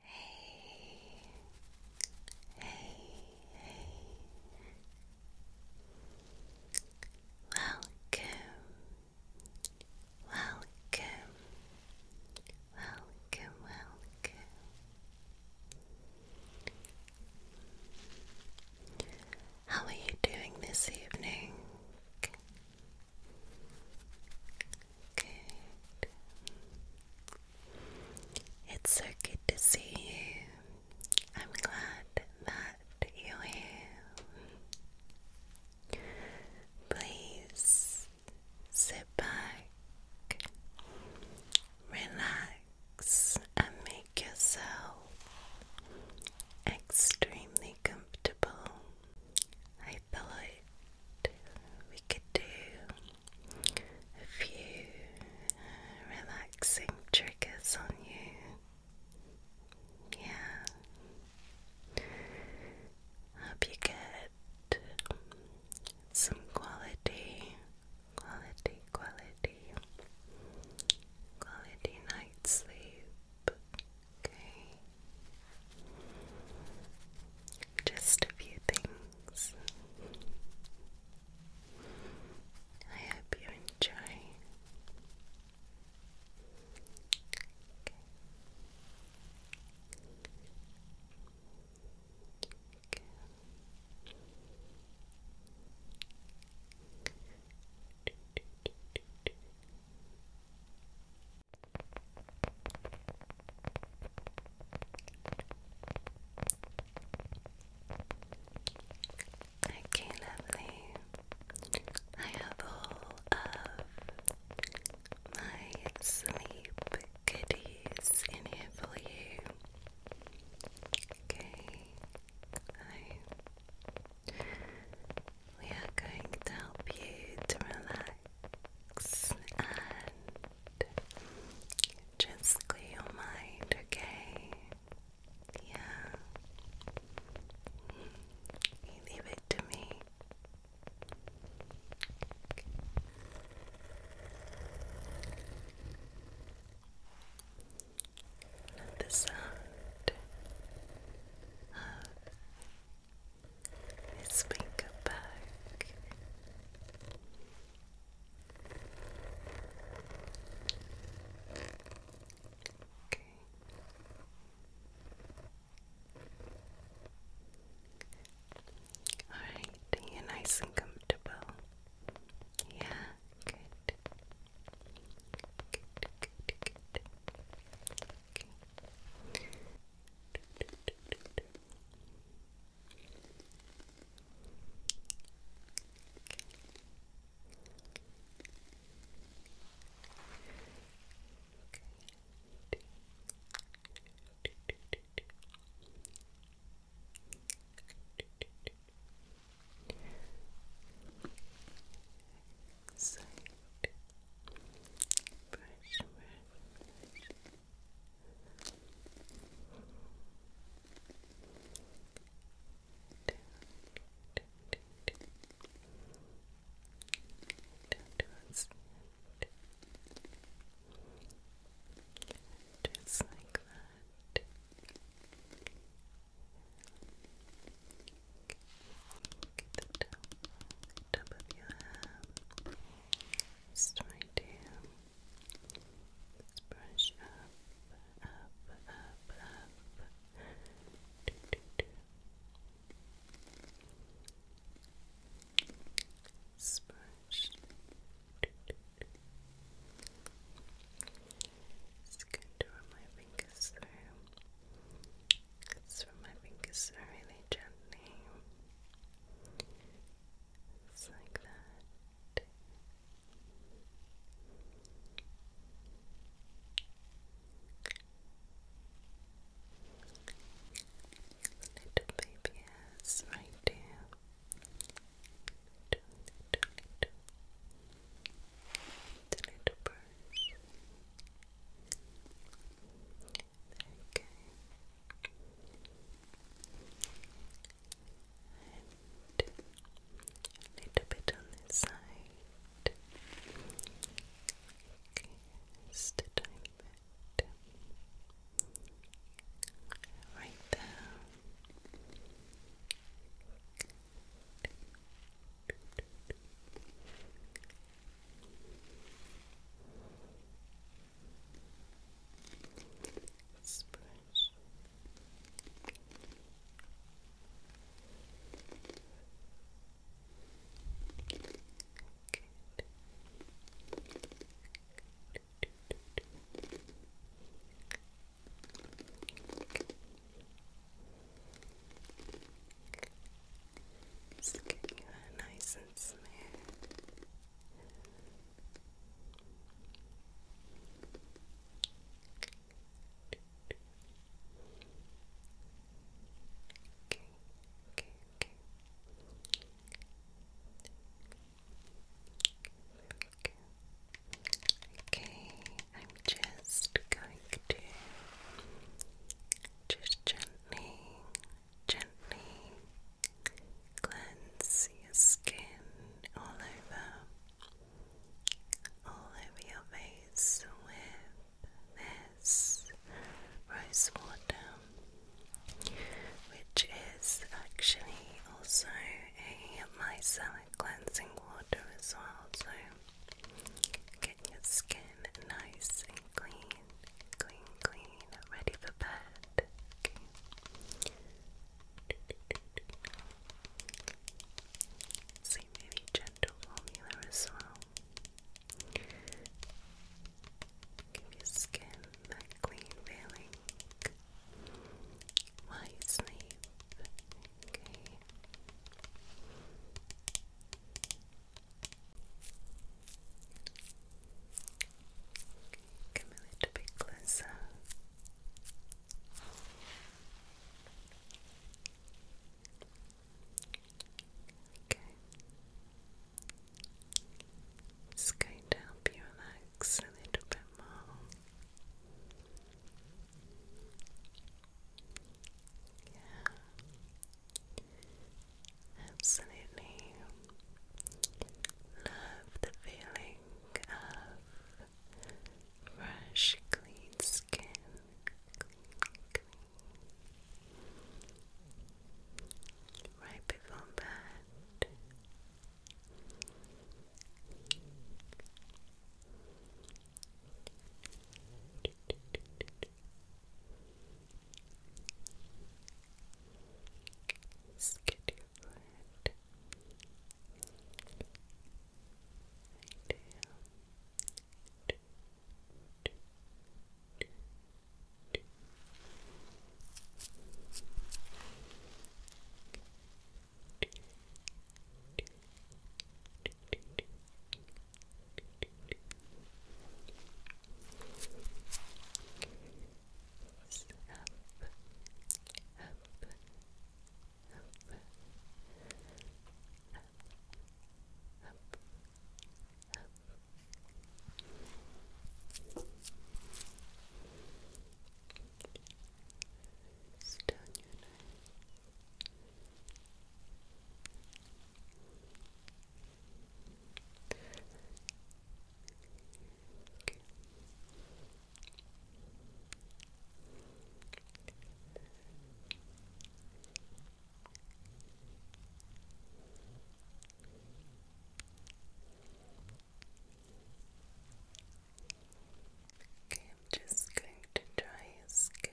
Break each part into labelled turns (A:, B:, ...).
A: Hey, hey, hey. Welcome, welcome, welcome, welcome. How are you doing this evening? Good. It's so good to see you. I'm glad that you're here. Please sit back, relax, and make yourself extremely comfortable. I thought we could do a few relaxing triggers on you. Yeah. Hope you get some quality, quality, quality, quality night sleep. Okay just a few things. I hope you enjoy. I can Okay, lovely. I have all of my sleep goodies in here for you. Okay, we are going to help you to relax and just clear your mind, okay? Yeah. leave it to me. the sound of Let's bring it back. Okay. All right, nice and comfortable. Yeah, Okay. Side. Brush, brush, brush. Just like that. Get the top, just right here. Let's brush up, up, up, up. Do, do, do. Splash. Do, do, do. It's good to run my fingers through. Let's run my fingers through really gently. Just like that. Little baby ass right there. The little birds. There you and a little bit on this side. just a tiny bit. Right there. Let's Just get you nice and smooth. Okay, I'm just going to just gently gently cleanse your skin all over, all over your face with this rose water, which is actually also a micellar cleansing water as well. So get your skin nice and clean clean, clean, ready for bed. Okay. See, gentle formula as well. Give your skin that clean feeling while you sleep. Come a little bit closer. Okay. It's going to help you relax a little bit more. Yeah. Absolutely love the feeling of fresh, clean skin. Right before bed. Skid your forehead. Right down. Do, do, do, do. Right it's up, up, up, up, up, up. It's down Okay, I'm just going to dry your skin.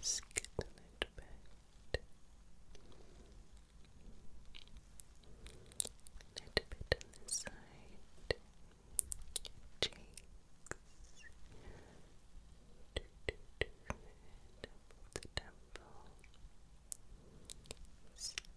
A: Skip a little bit. A little bit on this side. Cheeks. Do, do, do. the temple.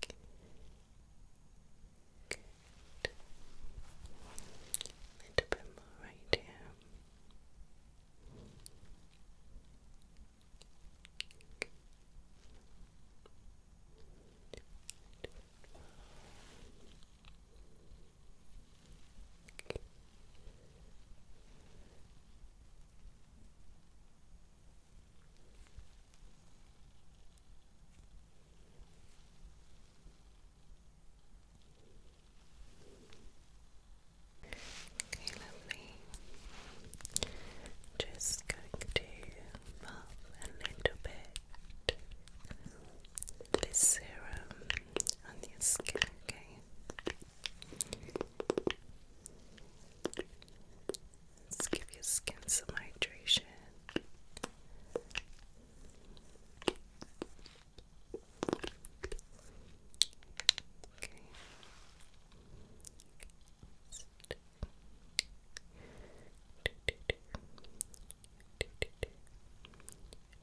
A: Good. A little bit more right here. Okay, lovely. Just going to pop a little bit this serum on your skin, okay? Let's give your skin some hydration.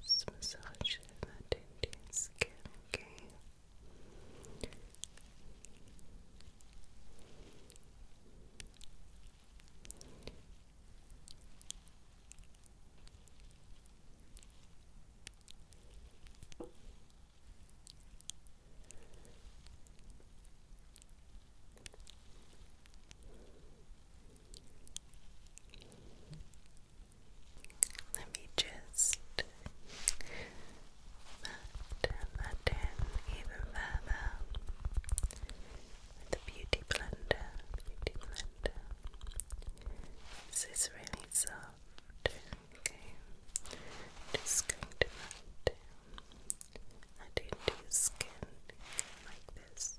A: Just massage that into your skin, okay? Okay. Let me just pattern that even further with the beauty blender. This is really soft. Okay, just going to melt I don't skin like this.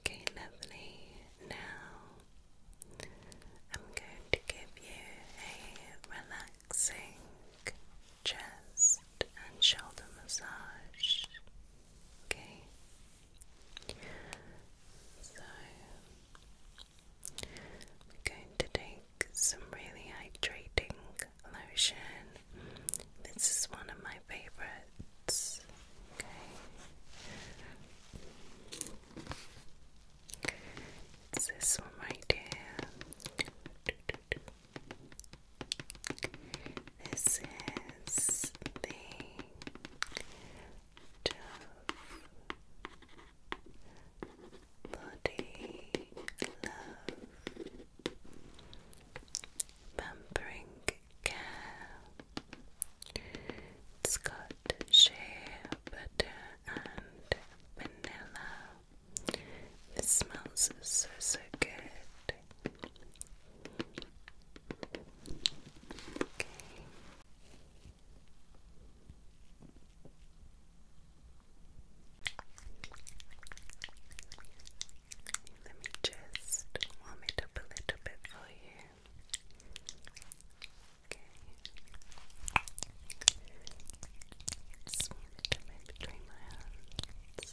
A: Okay, lovely. Now I'm going to give you a relaxing chest and shoulder massage. Okay, so I'm going to take like some really hydrating lotion. This is one of my favorites. Okay. this one right here. This is the Dove body love, pampering care. it butter and vanilla. This smells so so good. Let me just warm it up a little bit for you. Okay. Smooth it between my hands.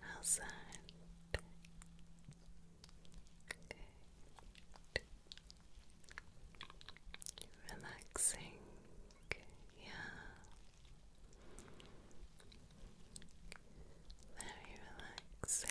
A: How's that? Good. Relaxing. Yeah. Very relaxing.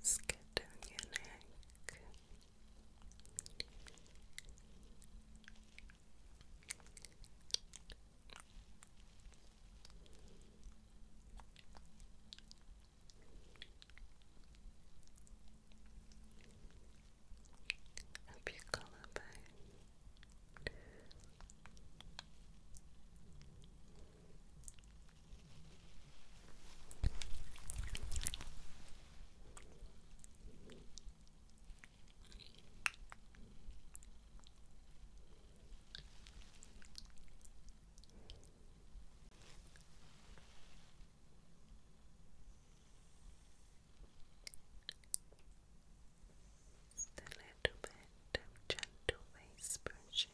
A: It's good your neck. Up your collarbone. Up just a little bit of gentle face brushing.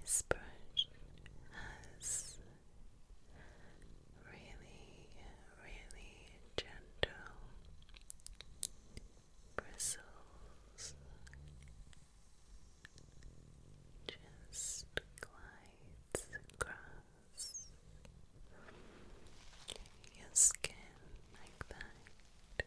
A: This brush has really, really gentle bristles. Just glides across your skin like that. like that.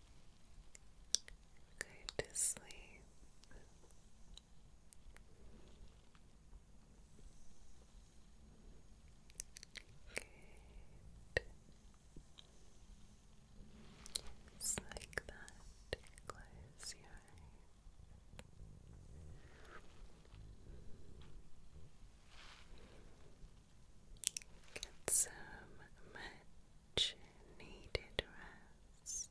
A: Go to sleep. Good. Just like that. Close your eyes. Get some matches needed rest.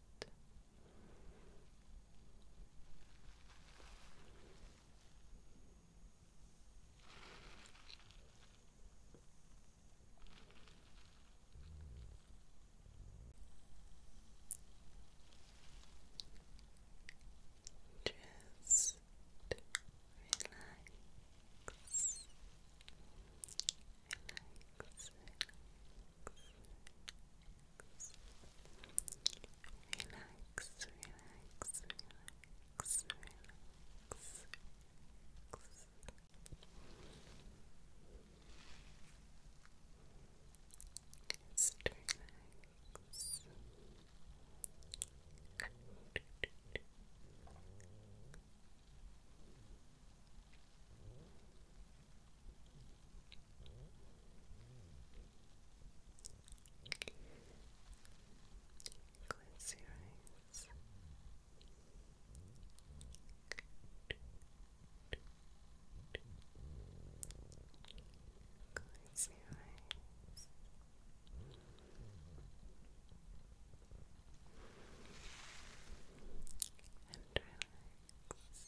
A: Just relax relax, relax, relax, relax, relax. Just relax. Quincy writes Quincy writes and relax.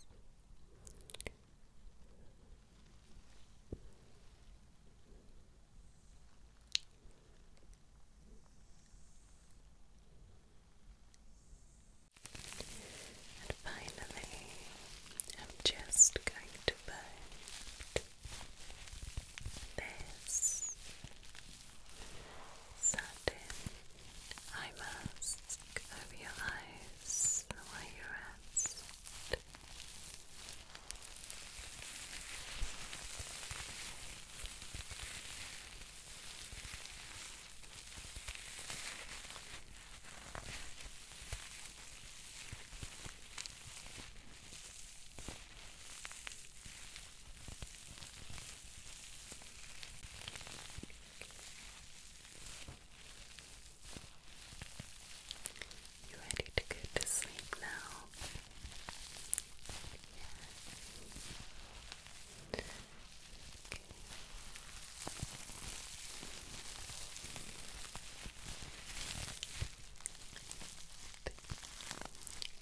A: finally, I'm just going to put this satin eye mask over your eyes while you rest. You ready to go to sleep now? Yeah. Okay.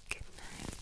A: Good night